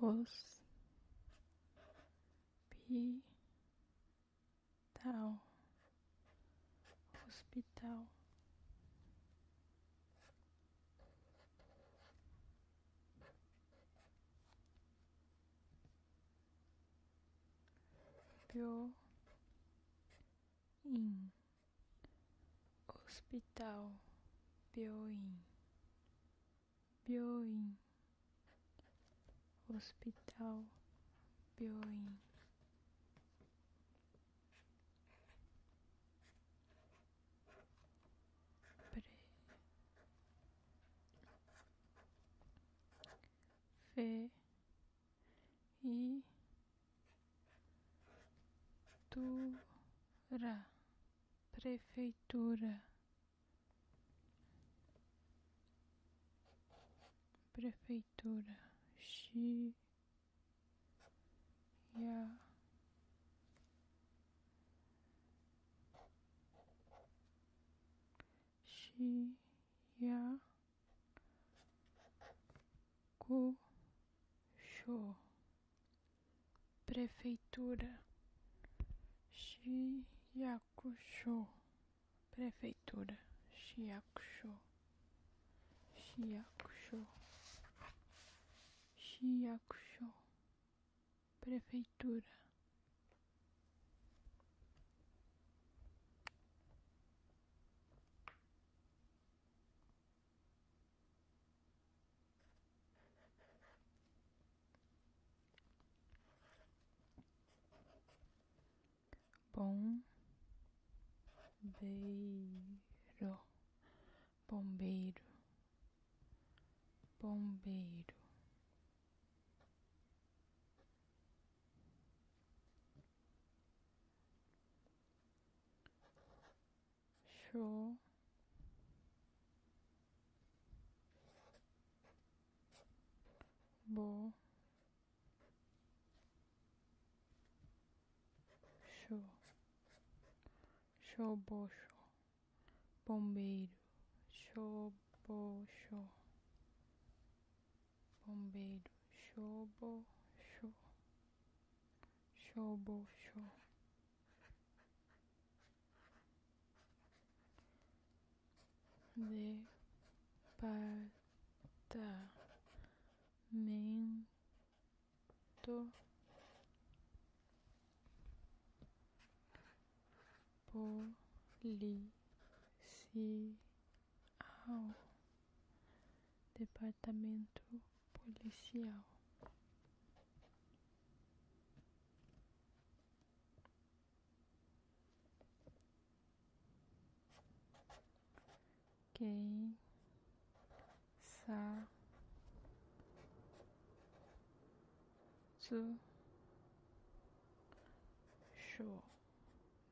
hospital hospital bio in hospital, Bioin, Bioin, hospital, Bioin. Pre, fe, i prefeitura, prefeitura, prefeitura, Xi, ya, Xi, ya, Kuchô, Prefeitura, Chiacuchô, Prefeitura, Chiacuchô, Chiacuchô, Chiacuchô, Prefeitura. Bombeiro, bombeiro, bombeiro show bo show show bo show bombeiro show bo show bombeiro, shobo, show, shobo, show. Departamento policial ao departamento policial. Quem sa su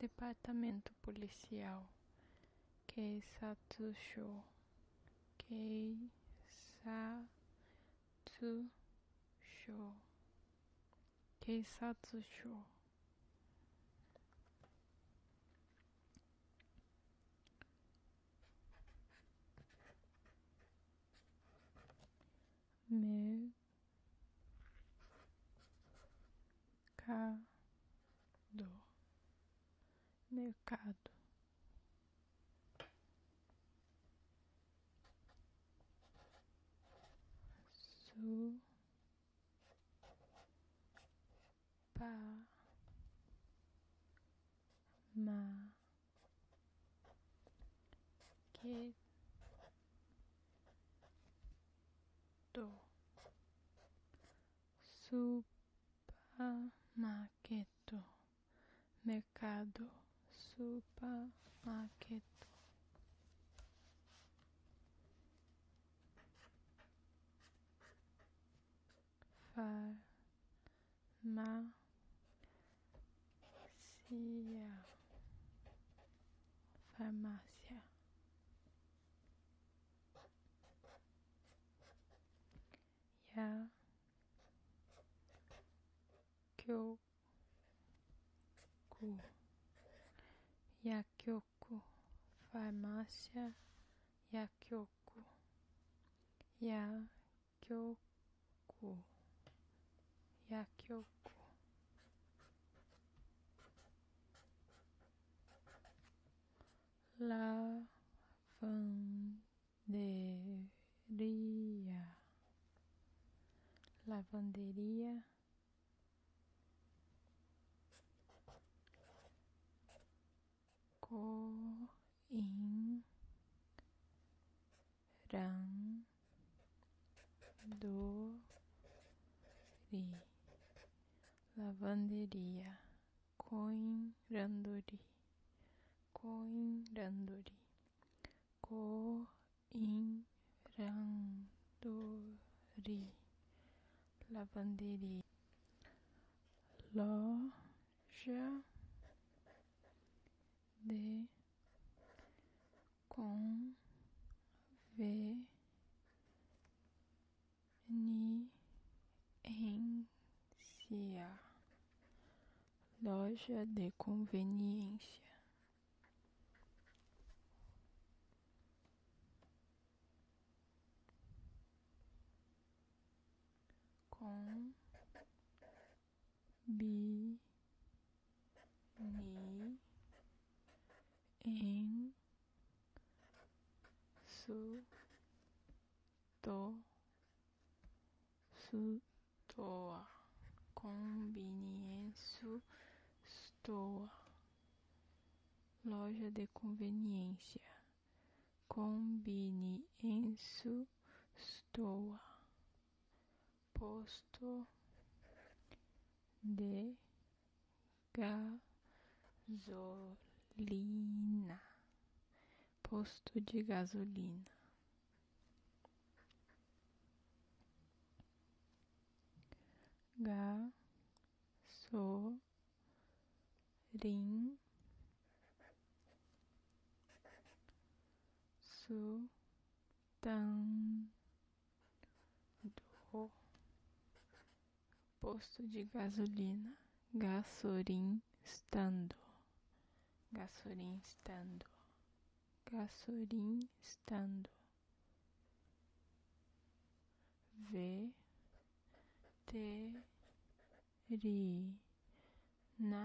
Departamento Policial Shou. Shou. Keisatsusho Keisatsusho Meu mercado mercado su pa ma que supermarket mercado supermarket farmácia farmácia. Ya Kyoku Yakyoku farmácia Yakyoku Yakyoku Yakyoko. Lavanderia. Lavanderia. coim Ran do ri lavanderia coin coin coiranduri coiranduri coiranduri lavanderia loja de com V Conveniência Loja de conveniência com bi ni en su to su toa conveniência stoa loja de conveniência conveniência stoa posto de gasolina. Posto de gasolina. gasolin, Su tan do posto de gasolina gasolim estando gasolim estando gasolim estando v te ri na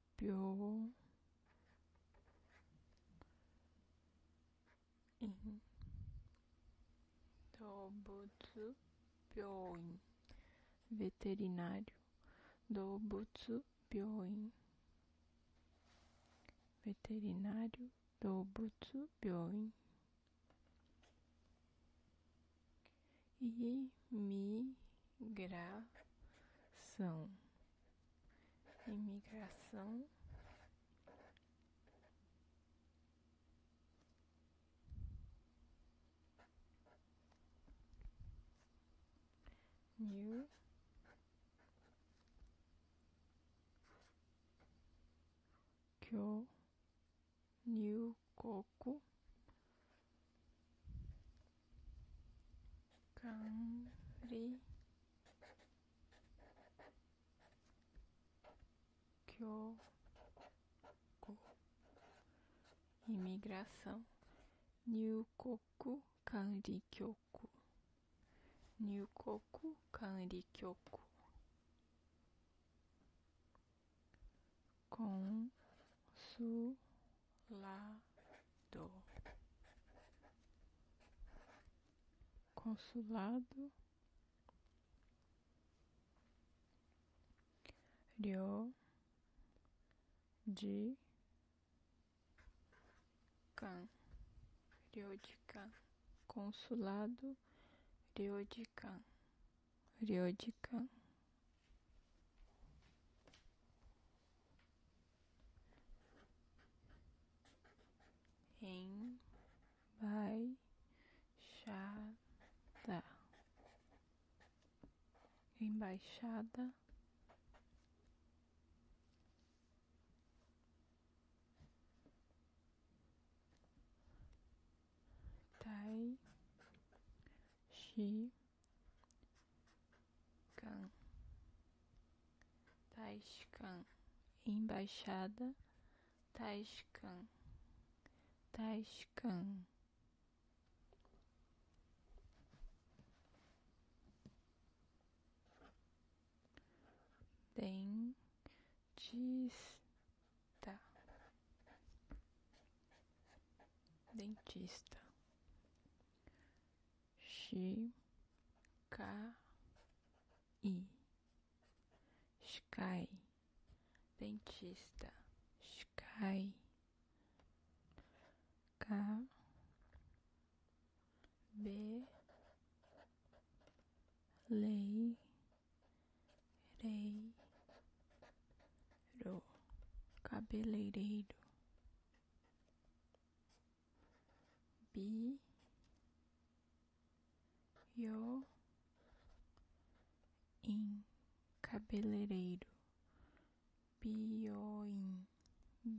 Bio. In. Dobutsu Byoin. Veterinário. Dobutsu Byoin. Veterinário dobutu pio, Byoin. Imigração imigração, new kyo, new coco. Kanri Kyoku Imigração Nyukoku Kanri Kyoku Nyukoku Kanri Kyoku com consulado consulado Rio de Can Rio de Can consulado Rio de Can Rio de Can Embaixada. Embaixada. Tai. chi. Can. Taishkan. Embaixada. Taishkan. Taishkan. Dentista dentista chi ca i sky dentista sky k b lei rei cabeleireiro bi yo in cabeleireiro bioin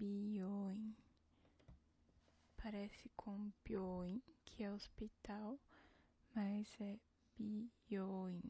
bioin parece com bioin que é hospital mas é bioin